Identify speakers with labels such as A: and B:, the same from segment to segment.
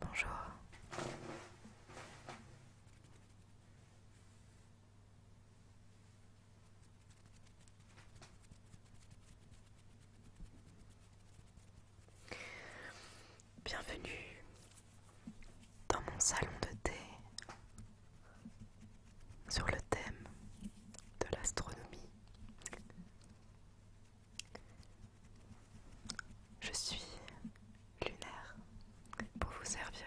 A: Bonjour. Bienvenue dans mon salon de thé sur le thème de l'astronomie. Je suis lunaire pour vous servir.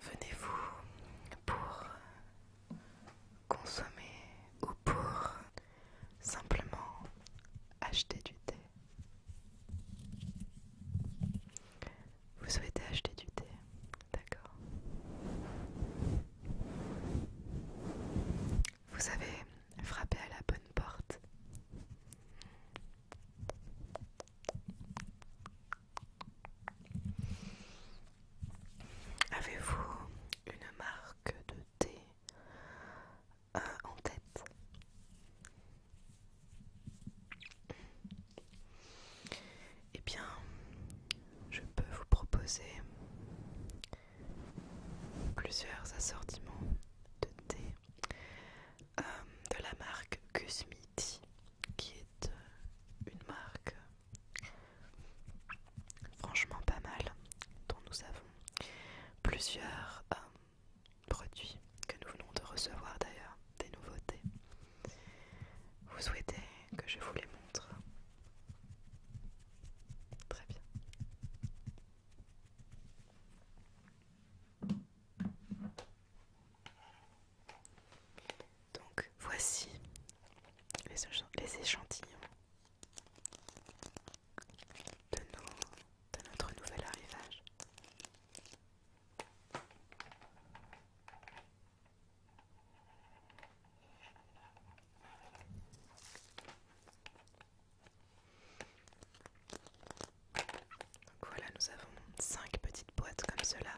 A: Venez-vous pour consommer ou pour simplement acheter du thé vous souhaitez acheter du thé D'accord. Vous avez frappé à la bonne porte. Avez-vous une marque de thé euh, en tête eh bien, je peux vous proposer plusieurs assortiments de thé euh, de la marque Gusmiti, qui est euh, une marque franchement pas mal, dont nous avons plusieurs euh, produits que nous venons de recevoir d'ailleurs des nouveautés. Vous souhaitez que je vous les montre Très bien. Donc voici les, échantillons de notre nouvel arrivage. Donc voilà, nous avons 5 petites boîtes comme cela.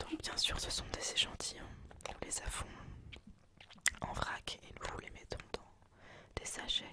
A: Donc bien sûr, ce sont des échantillons. Nous les avons en vrac et nous vous les mettons dans des sachets.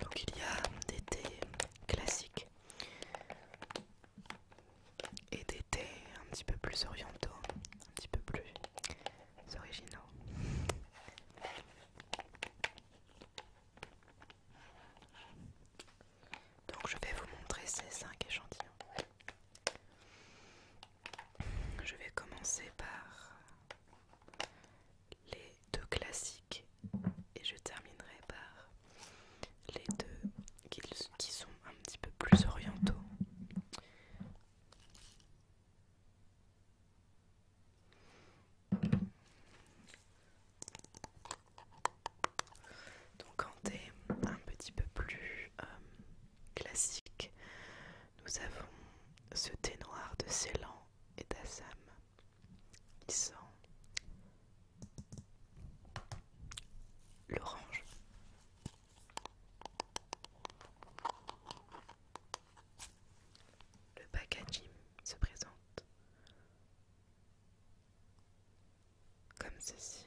A: Donc il y a des thés classiques et des thés un petit peu plus orientaux, un petit peu plus originaux. Donc je vais vous montrer ces 5 échantillons. Je vais commencer par les deux classiques et je terminerai par les deux qui, sont un petit peu plus orientaux. Donc quand t'es un petit peu plus euh, classique, nous avons ce thé noir de Ceylan et d'Assam. qui sent l'orange. Le packaging se présente comme ceci.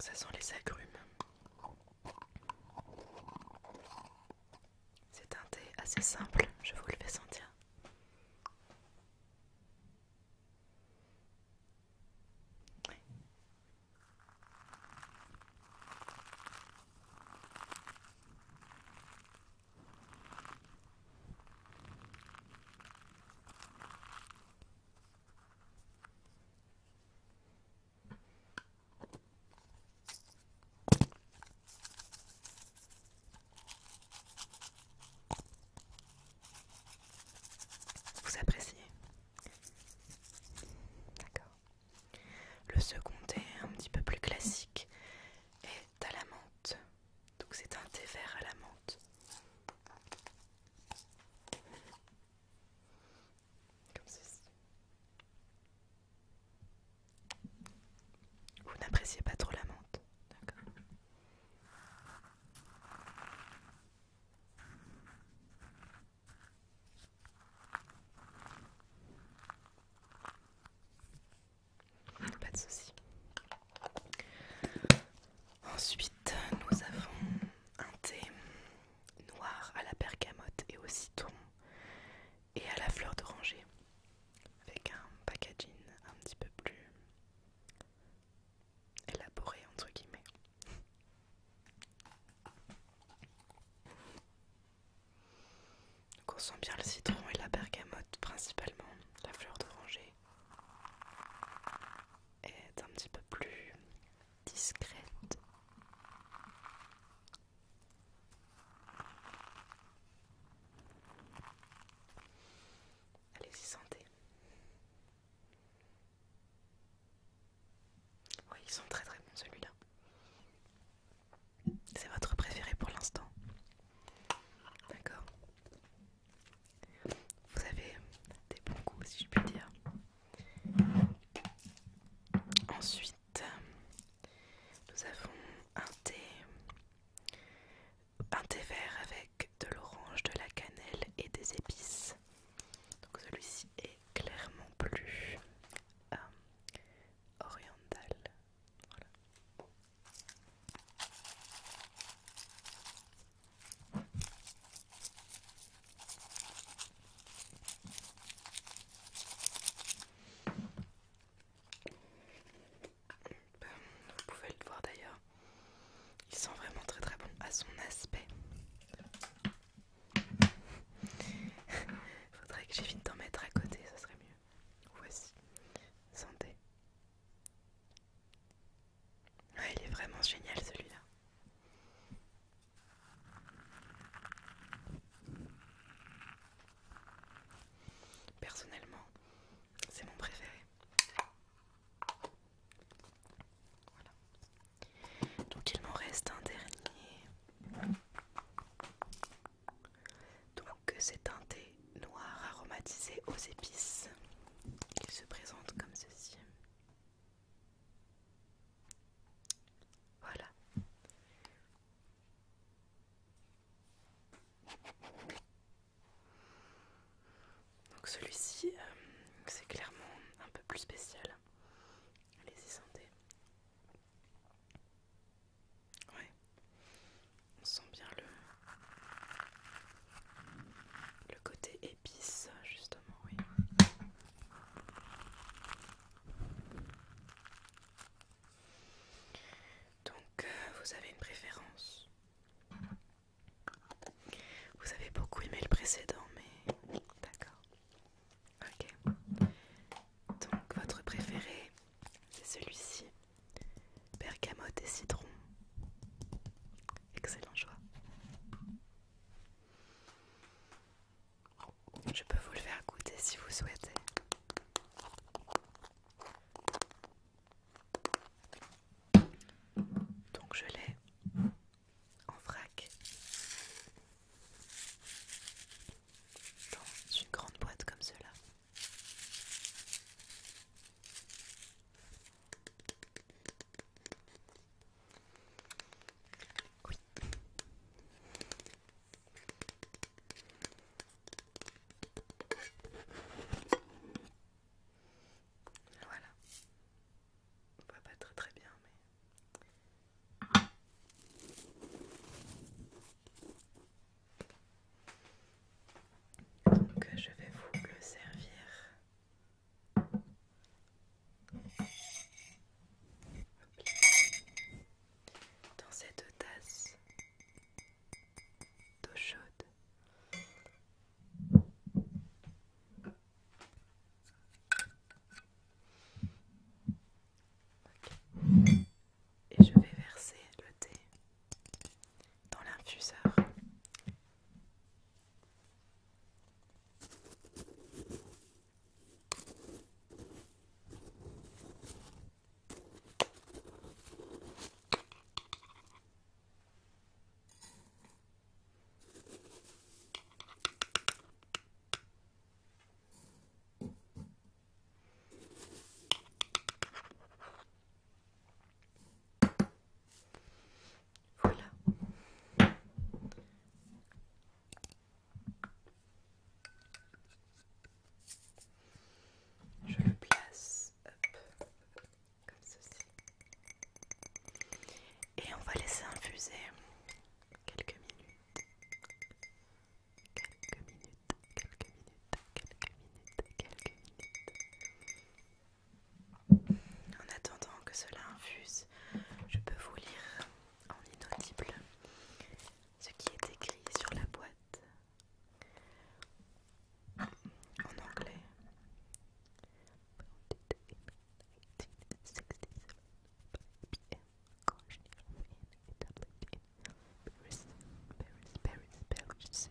A: Ce sont les agrumes. C'est un thé assez simple, je vous le fais sentir. Vous appréciez D'accord. Le second thé, un petit peu plus classique, est à la menthe. Donc c'est un thé vert à la menthe. Comme ceci. Vous n'appréciez pas trop la menthe, d'accord pas de soucis. Ensuite, nous avons un thé noir à la bergamote et au citron et à la fleur d'oranger avec un packaging un petit peu plus élaboré entre guillemets. Donc on sent bien le citron et la bergamote principalement, la fleur d'oranger est un petit peu plus discrète. Allez-y, sentez. Oui, ils sont très très bons celui-là. C'est votre préféré pour l'instant. D'accord. Vous avez des bons goûts, si je puis dire. Ensuite, nous avons un thé, un thé vert avec de l'orange, de la cannelle et des épices. Donc celui-ci est clairement plus euh, oriental. Vous pouvez le voir d'ailleurs, il sent vraiment très très bon à son aspect. Faudrait que j'évite d'en mettre à côté, ça serait mieux. Voici, santé il est vraiment génial celui-là. Personnellement, c'est mon préféré. Donc il m'en reste un dernier. Donc c'est teinté noir aromatisé aux épices. qui se présente comme ceci. Voilà. Donc celui-ci, euh, c'est clairement un peu plus spécial. Allez-y, sentez. Ouais. On sent bien le, côté épice, justement, oui. Donc, euh, vous avez une préférence Vous avez beaucoup aimé le précédent, mais d'accord. Ok. Donc, votre préféré, c'est celui-ci bergamote et citron. Excellent choix. Je peux vous le faire goûter si vous souhaitez. Donc je l'ai en vrac dans une grande boîte comme cela. Voilà. On va pas très très bien mais donc je vais vous le servir. Dans cette tasse d'eau chaude. Et je vais verser le thé dans l'infuseur. Voilà. Je le place comme ceci. Et on va laisser infuser quelques minutes. Quelques minutes quelques minutes, quelques minutes, quelques minutes. En attendant que cela infuse, je peux vous lire en inaudible ce qui est écrit sur la boîte en anglais. Paris, Paris, Paris, Paris,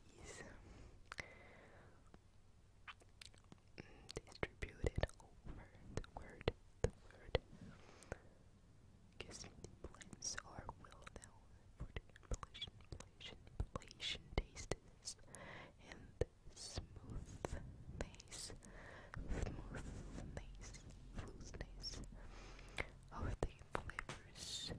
A: is distributed over the word. The word Guessing the are well known for their inflation, inflation, inflation tastes and smoothness, smoothness, smoothness of the flavors.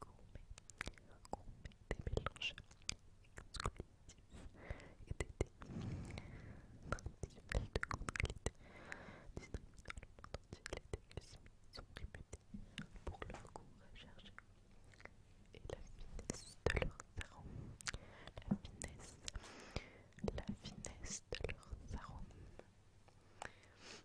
A: gourmet, gourmet des mélanges exclusifs et des traditionnels de grande qualité dans le monde sont réputés pour leur goût recherché et la finesse de leurs arômes La finesse, la finesse de leurs arômes.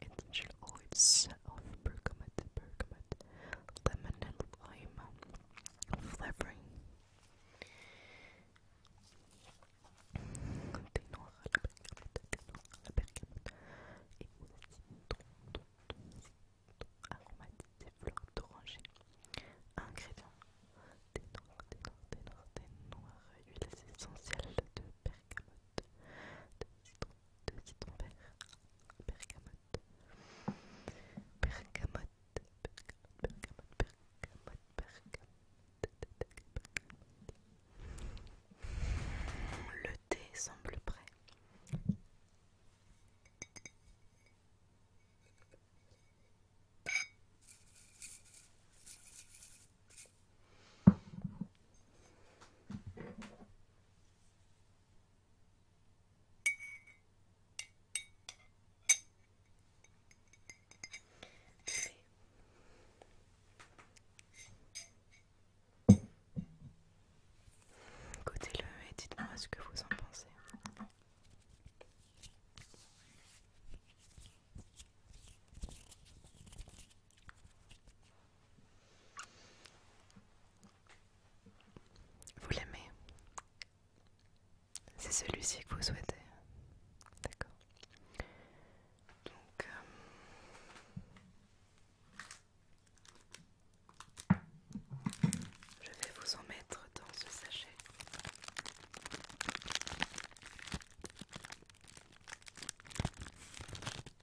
A: essential oils of bergamot, bergamot, lemon and lime flavoring. Des la bergamote, des à la bergamote et aussi d'oranger. Ingrédients des noirs, de bergamote, de bergamote, Le thé semble prêt. Écoutez-le et dites-moi ce que vous en pensez. Vous l'aimez C'est celui-ci que vous souhaitez. D'accord. Donc... Euh, je vais vous en mettre dans ce sachet.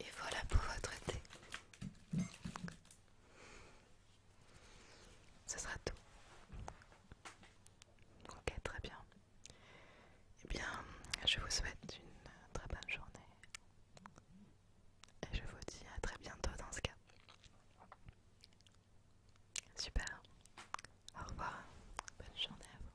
A: Et voilà pour votre thé. Ce sera tout. Ok, très bien. Eh bien, je vous souhaite une très bonne journée. Et je vous dis à très bientôt dans ce cas. Super. Au revoir. Bonne journée à vous.